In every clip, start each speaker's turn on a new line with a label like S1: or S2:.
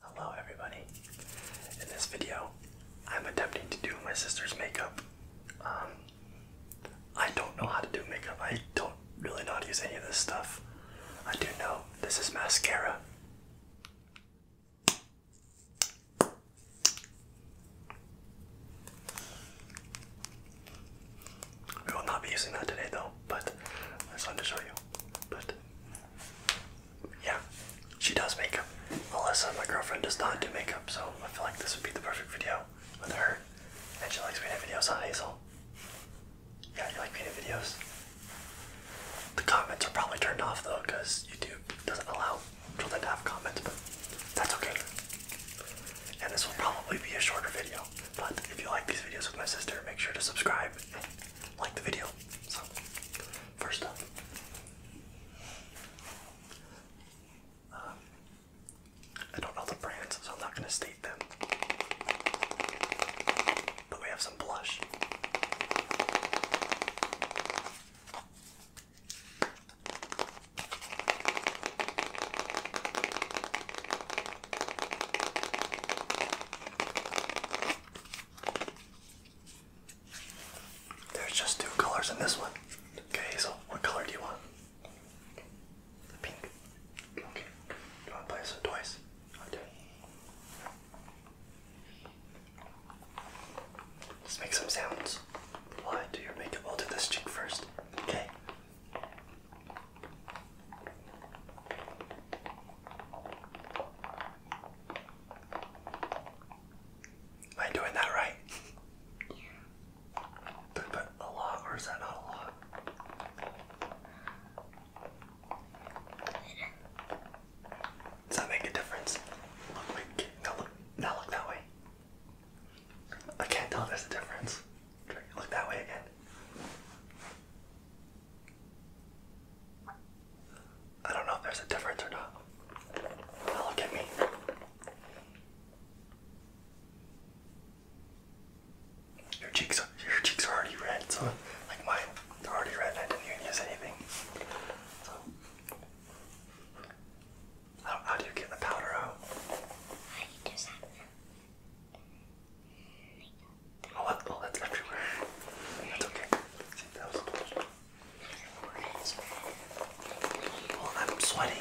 S1: Hello everybody. In this video, I'm attempting to do my sister's makeup. Um, I don't know how to do makeup. I don't really know how to use any of this stuff. I do know this is mascara. We will not be using that today though, but I just wanted to show you. But yeah, she does makeup. Melissa, my girlfriend, does not do makeup, so I feel like this would be the perfect video with her. And she likes making videos, on Hazel? Yeah, you like making videos? The comments are probably turned off though, because YouTube doesn't allow children to have comments, but that's okay. And this will probably be a shorter video, but if you like these videos with my sister, make sure to subscribe like the video. So, first up, um, I don't know the brands, so I'm not going to state them. But we have some blush. There's just two colors in this one. Okay, so what color do you want? Pink. Okay. You want to play this twice? Okay. Let's make some sounds. Why do your makeup? I'll do this cheek first. Okay. Am I doing that right? Yeah. I put a lot or is that not a lot? Does that make a difference? Look, look, now look that way. I can't tell there's a difference look that way again. I don't know if there's a difference or not. look at me. Your cheeks are your cheeks are already red, so like mine, they're already red, I didn't even use anything. So how do you get the powder out? I just have Oh, that's everywhere. That's okay. See, that was close. Oh, I'm sweating.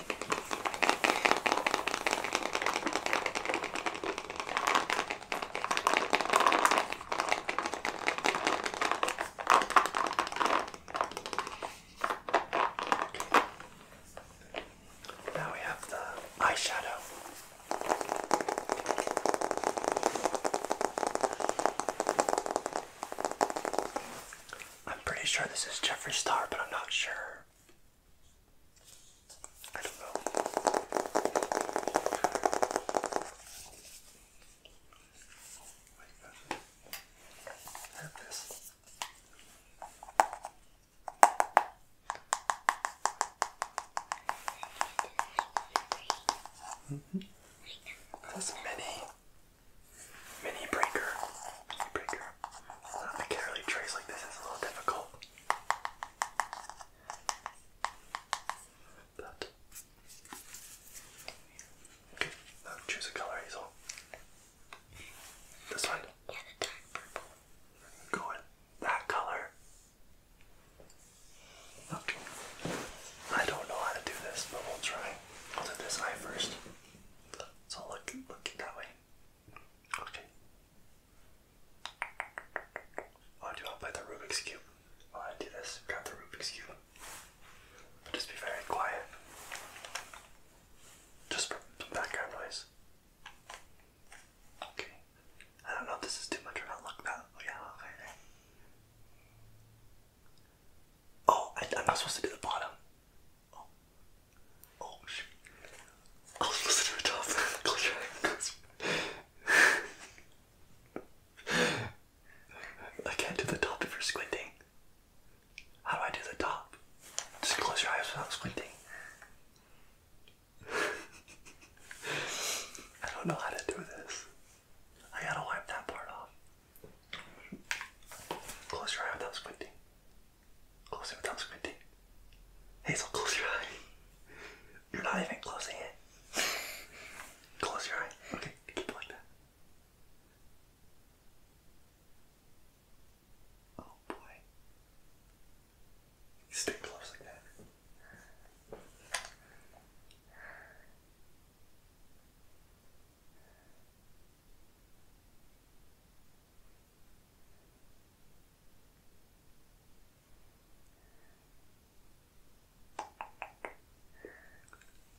S1: Now we have the eyeshadow. I'm pretty sure this is Jeffrey Star, but I'm not sure. I don't know. I have this. Mm -hmm. That's mini, mini breaker. Mini breaker. Uh, a Carolee trace like this is a little difficult. But okay, now choose a color, Hazel. This one? Yeah, the dark purple. Go with that color. Okay. I don't know how to do this, but we'll try. I'll do this eye first. So look, look that way. Okay. Oh, do you want to play the Rubik's Cube? While oh, I do this, grab the Rubik's Cube. But just be very quiet. Just for some background Okay. I don't know if this is too much or not. Look that. Oh, yeah, okay, Oh, I, am not supposed to do the bottom. Oh. Oh, shoot. I was supposed to do the top. I can't do the top you're squinting. How do I do the top? Just close your eyes without squinting. I don't know how to do this. I gotta wipe that part off. Close your eyes without squinting. Close your eyes without squinting. Hazel, close your eye. You're not even closing it. close your eye. Okay, keep it like that. Oh boy. Stay close like that.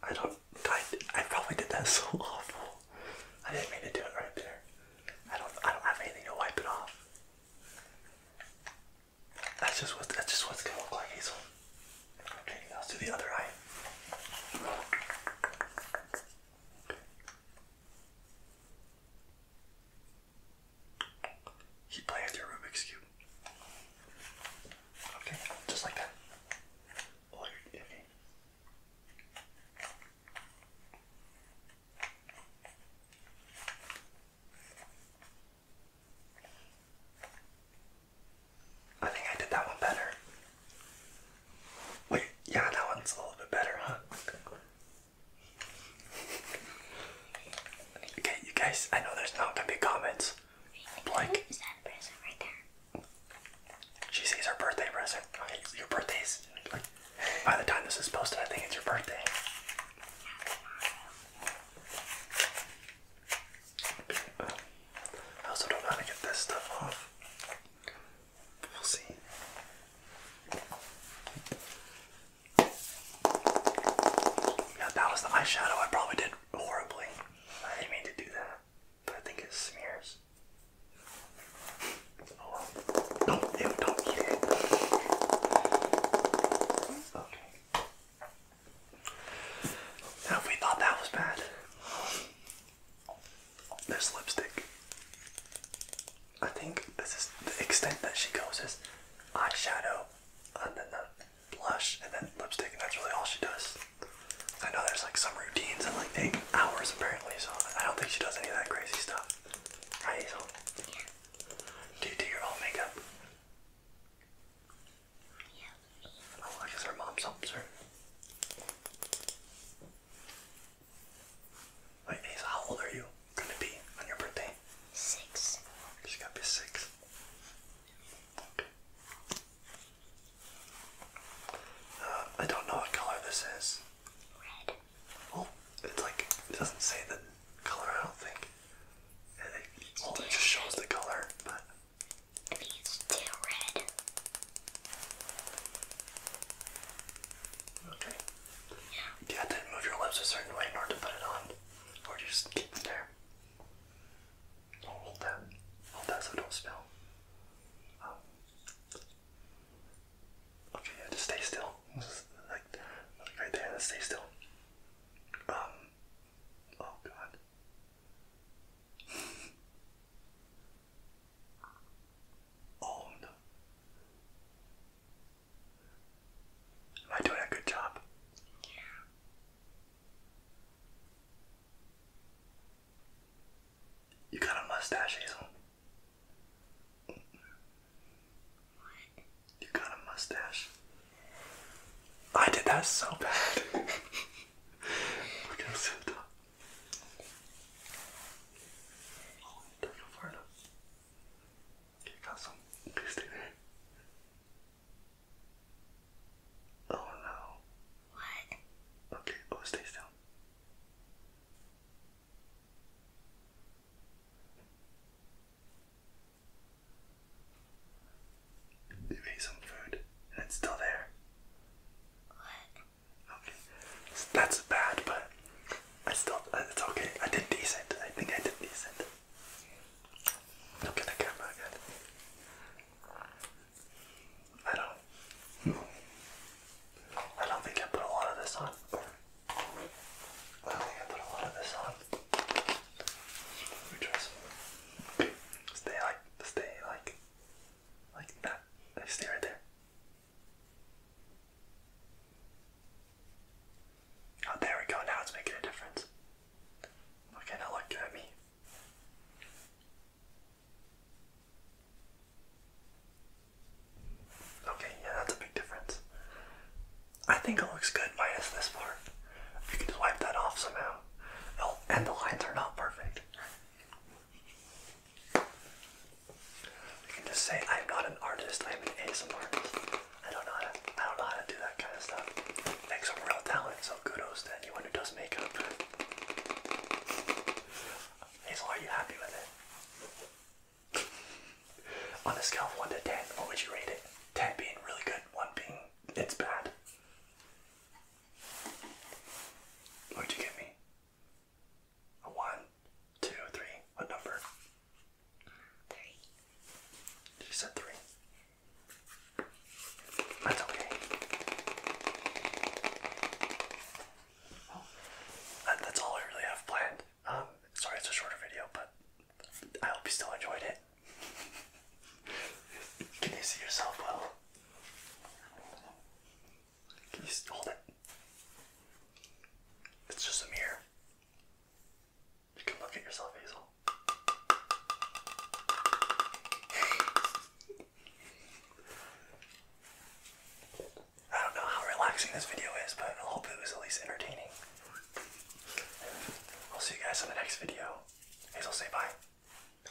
S1: I don't. I, I probably did that so awful. I didn't mean to do it right there. I don't. I don't have anything to wipe it off. That's just what. That's just what's gonna look like, Hazel. Okay, let's do the other eye. Keep playing with Rubik's cube. Okay, just like that. I think I did that one better. Wait, yeah, that one's a little bit better, huh? okay, you guys, I know there's not gonna be comments, like, She sees her birthday present. Okay, your birthday's by the time this is posted, I think it's your birthday. I also don't know how to get this off. We'll see. Yeah, that was the eyeshadow. I probably did horribly. I didn't mean to do that, but I think it smears. Oh, no, ew, don't eat it. Okay. Now, if we thought that was bad, there's lipstick. I think this is the extent that she goes is eyeshadow on the blush and then lipstick, and that's really all she does. I know there's like some routines that like take hours apparently, so I don't think she does any of that crazy stuff. Right? So, do you do your own makeup? Yeah. Oh, I her mom's helps her. Wait, Asa, how old are you gonna be on your birthday? Six. going gotta be six. Uh, I don't know what color this is. Red. Well, it's like, it doesn't say the color, I don't think. It, it just shows the color, but. I think red. Okay. Yeah. you have to move your lips a certain way in order to put it on? Or just keep it hold that. Hold that so it don't spill. Um, okay, yeah, just stay still. like, right there, stay still. Um, oh god. oh no. Am I doing a good job? You got a mustache, Hazel. You got a mustache. I did that so bad. You got some Oh no. What? Okay, oh stay still. You ate some food and it's still there. What? Okay. That's bad, but I still, uh, it's okay. I did decent. I think I did decent. Look at the camera again. I don't. I don't think I put a lot of this on. I don't think I put a lot of this on. Stay like, stay like, like that. Stay right there. Oh, there we go. Now it's making a difference. Okay, now look at me. Okay, yeah, that's a big difference. I think it looks good minus this part. you can just wipe that off somehow, it oh, and the lines are not perfect. You can just say, I'm not an artist, I'm an ASMR artist. I don't know how to I don't know how to do that kind of stuff. Like some real talent, so kudos to anyone who does makeup. Hazel, are you happy with it? On a scale of 1 to 10, what would you rate it? 10 being really good, 1 being it's bad. where would you get me? one, two, three. What number? Three. You said three. That's okay. that's all I really have planned. Um, sorry it's a shorter video, but I hope you still enjoyed it. Can you see yourself well? Can you hold it? It's just a mirror. You can look at yourself, Hazel. I don't know how relaxing this video is, but I hope it was at least entertaining. I'll see you guys in the next video. Hazel, say bye. Bye.